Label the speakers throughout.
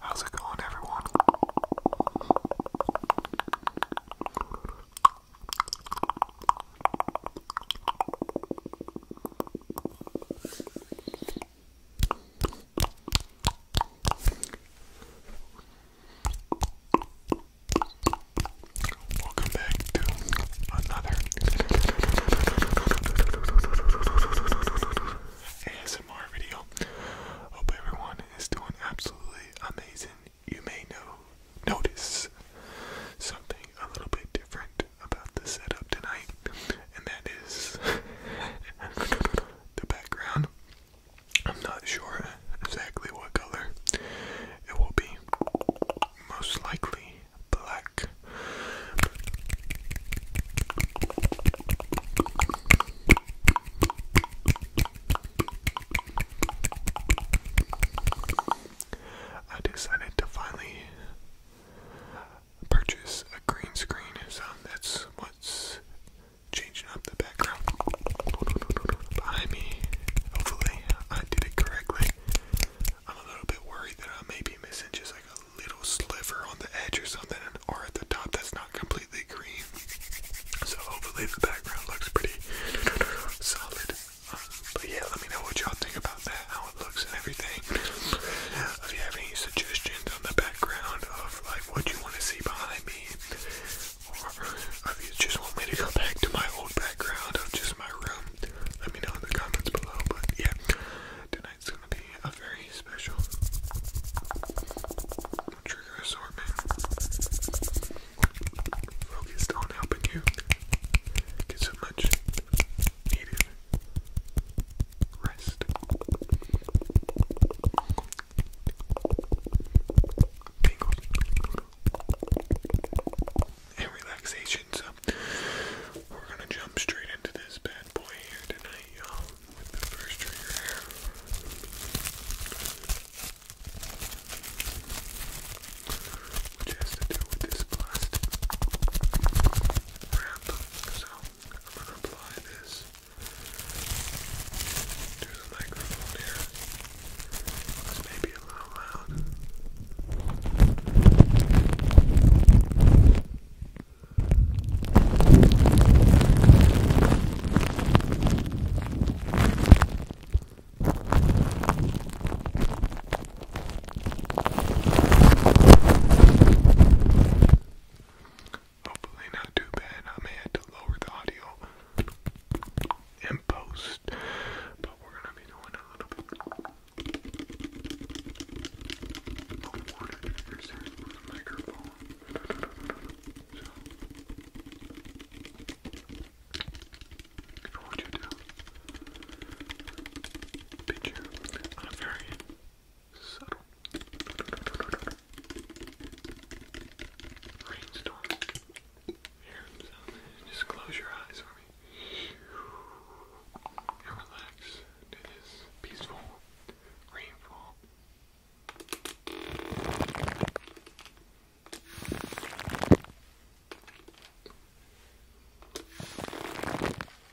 Speaker 1: How's it going, everyone? Welcome back to another ASMR video. Hope everyone is doing absolutely amazing. You may know notice something a little bit different about the setup tonight, and that is the background. I'm not sure exactly what color it will be, most likely black. I decided to finally purchase a green screen, so that's what's changing up the background behind me. Hopefully, I did it correctly. I'm a little bit worried that I may be missing just like a little sliver on the edge or something, or at the top that's not completely green. So, hopefully, the background looks pretty solid. Um, but yeah, let me know what y'all think about that looks and everything. If you have any suggestions on the background of like what you want to see behind me, or if you just want me to go back to my old background of just my room, let me know in the comments below. But yeah, tonight's gonna be a very special trigger assortment focused on helping you get so much needed Rest. Tingles. And relaxation. So we're gonna jump straight into this bad boy here tonight, y'all, with the first trigger Which has to do with this plastic I'm going to apply this to the microphone here. This may be a little loud. Hopefully, not too bad. I may have to lower the audio in post, but we're gonna be doing a little bit of water triggers here for the I want you very Subtle. Rainstorm. Here, so just close your eyes for me. And relax to this peaceful rainfall.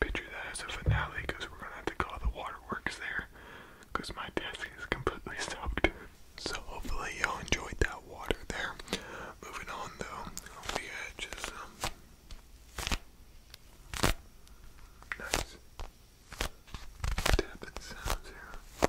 Speaker 1: Picture that as a finale because we're gonna have to call the waterworks there because my desk is completely soaked. So hopefully y'all enjoyed that water there. Moving on though, the edges. Um, nice. Tapping sounds here.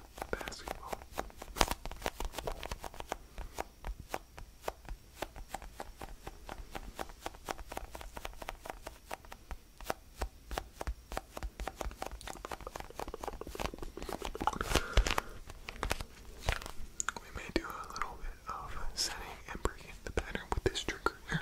Speaker 1: basketball. We may do a little bit of setting and breaking the pattern with this trigger here.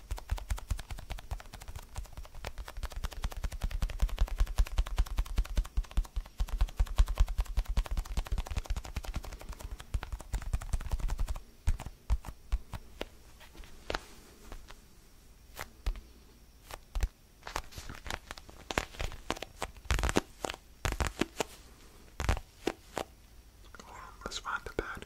Speaker 1: Come on, let's find the pattern.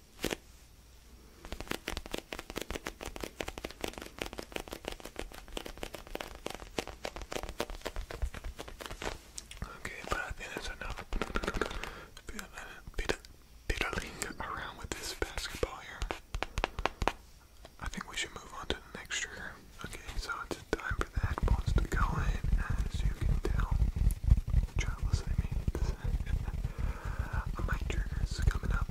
Speaker 1: Okay, but I think that's enough. Bit bit fiddling around with this basketball here. I think we should move on to the next trigger. Okay, so it's time for the headphones to go in, as you can tell. Try listening to Oh, my triggers coming up.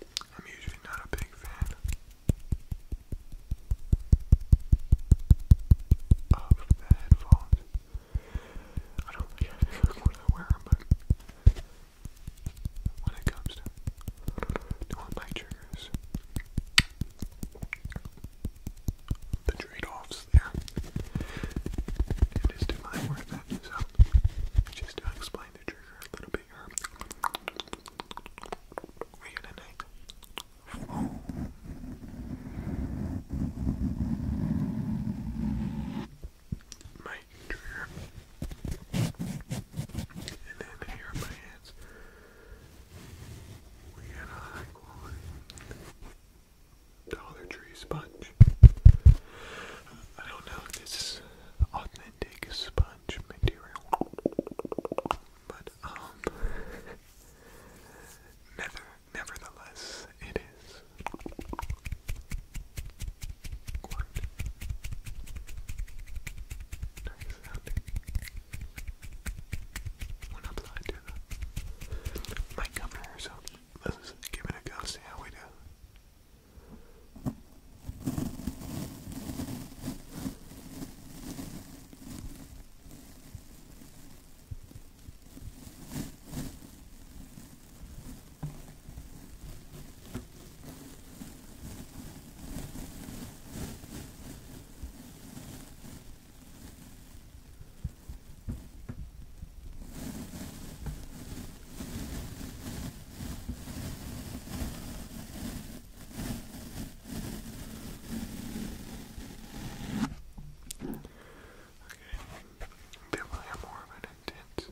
Speaker 1: I'm usually not a big fan of the headphones. I don't think I ever want when it comes to doing my triggers, the trade-offs there, it is to my worth it, just to explain the trigger a little bit we get a night. Oh. And then here in my hands, we got a high quality Dollar Tree sponge. I don't know if this authentic sponge material, but um, never, nevertheless, it is Quite nice sounding when applied to the mic cover here, so give it a go, see how we do. Okay, there will have more of an intense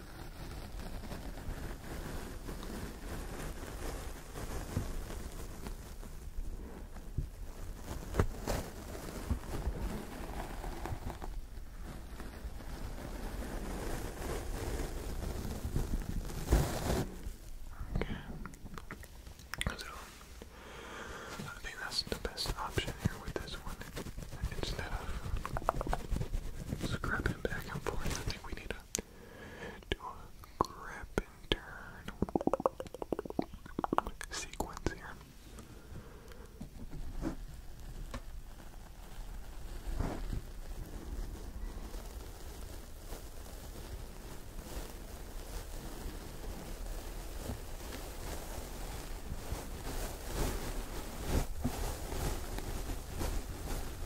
Speaker 1: Okay. So I think that's the best option here with this one. Instead of scrubbing back and forth, I think we need a do a grip and turn sequence here.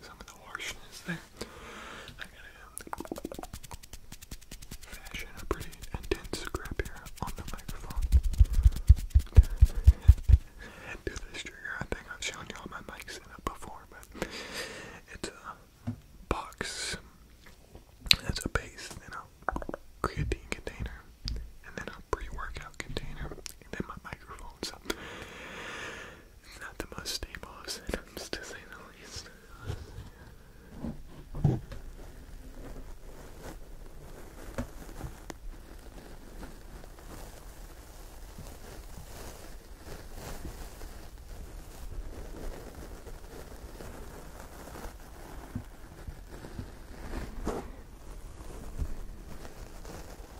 Speaker 1: some of the harshness there. I gotta fashion a pretty intense grip here on the microphone. Do this trigger. I think I've shown you all my mic setup before, but it's a box. That's a base, then a creatine container, and then a pre-workout container, and then my microphone not the most stable of synonyms, to say the least.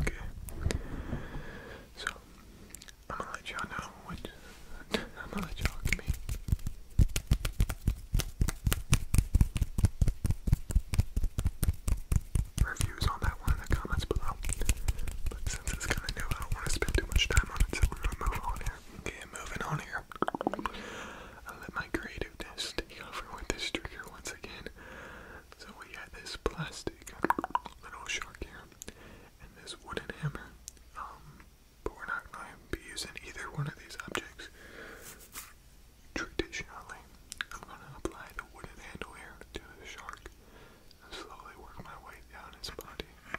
Speaker 1: Okay. So I'm gonna let y'all know what I'm gonna let y'all give Reviews on that one in the comments below. But since it's kinda new, I don't want to spend too much time on it, so we're gonna move here. Okay, moving on here. i let my creativeness take over with this trigger once again. So we got this plastic little shark here, and this wooden hammer. Um, but we're not going to be using either one of these objects traditionally. I'm going to apply the wooden handle here to the shark and slowly work my way down his body. Now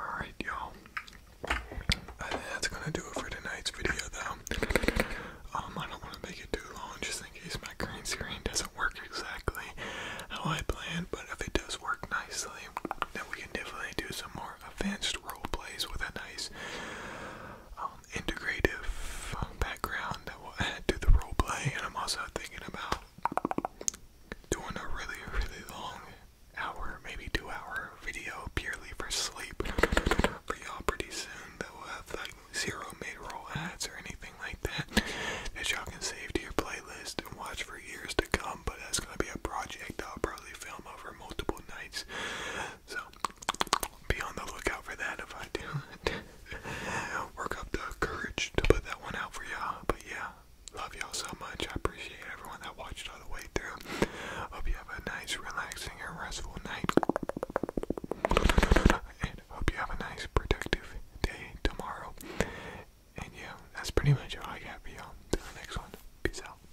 Speaker 1: Alright, y'all. I think that's gonna do it for tonight's video, though. Um, I don't want to make it too long just in case my green screen doesn't work exactly how I planned, but if it does work nicely, then we can definitely do some more advanced role with a nice um, integrative uh, background that will add to the role And I'm also thinking about doing a really, really long hour, maybe two hour video purely for sleep for y'all pretty soon that will have like zero made roll ads or anything like that that y'all can save to your playlist and watch for years to come. But that's gonna be a project I'll probably film over multiple nights so be on the lookout for that if I do. Work up the courage to put that one out for y'all. But yeah, love y'all so much. I appreciate everyone that watched all the way through. Hope you have a nice, relaxing, and restful night. And hope you have a nice, productive day tomorrow. And yeah, that's pretty much all I got y'all. Till the next one. Peace out.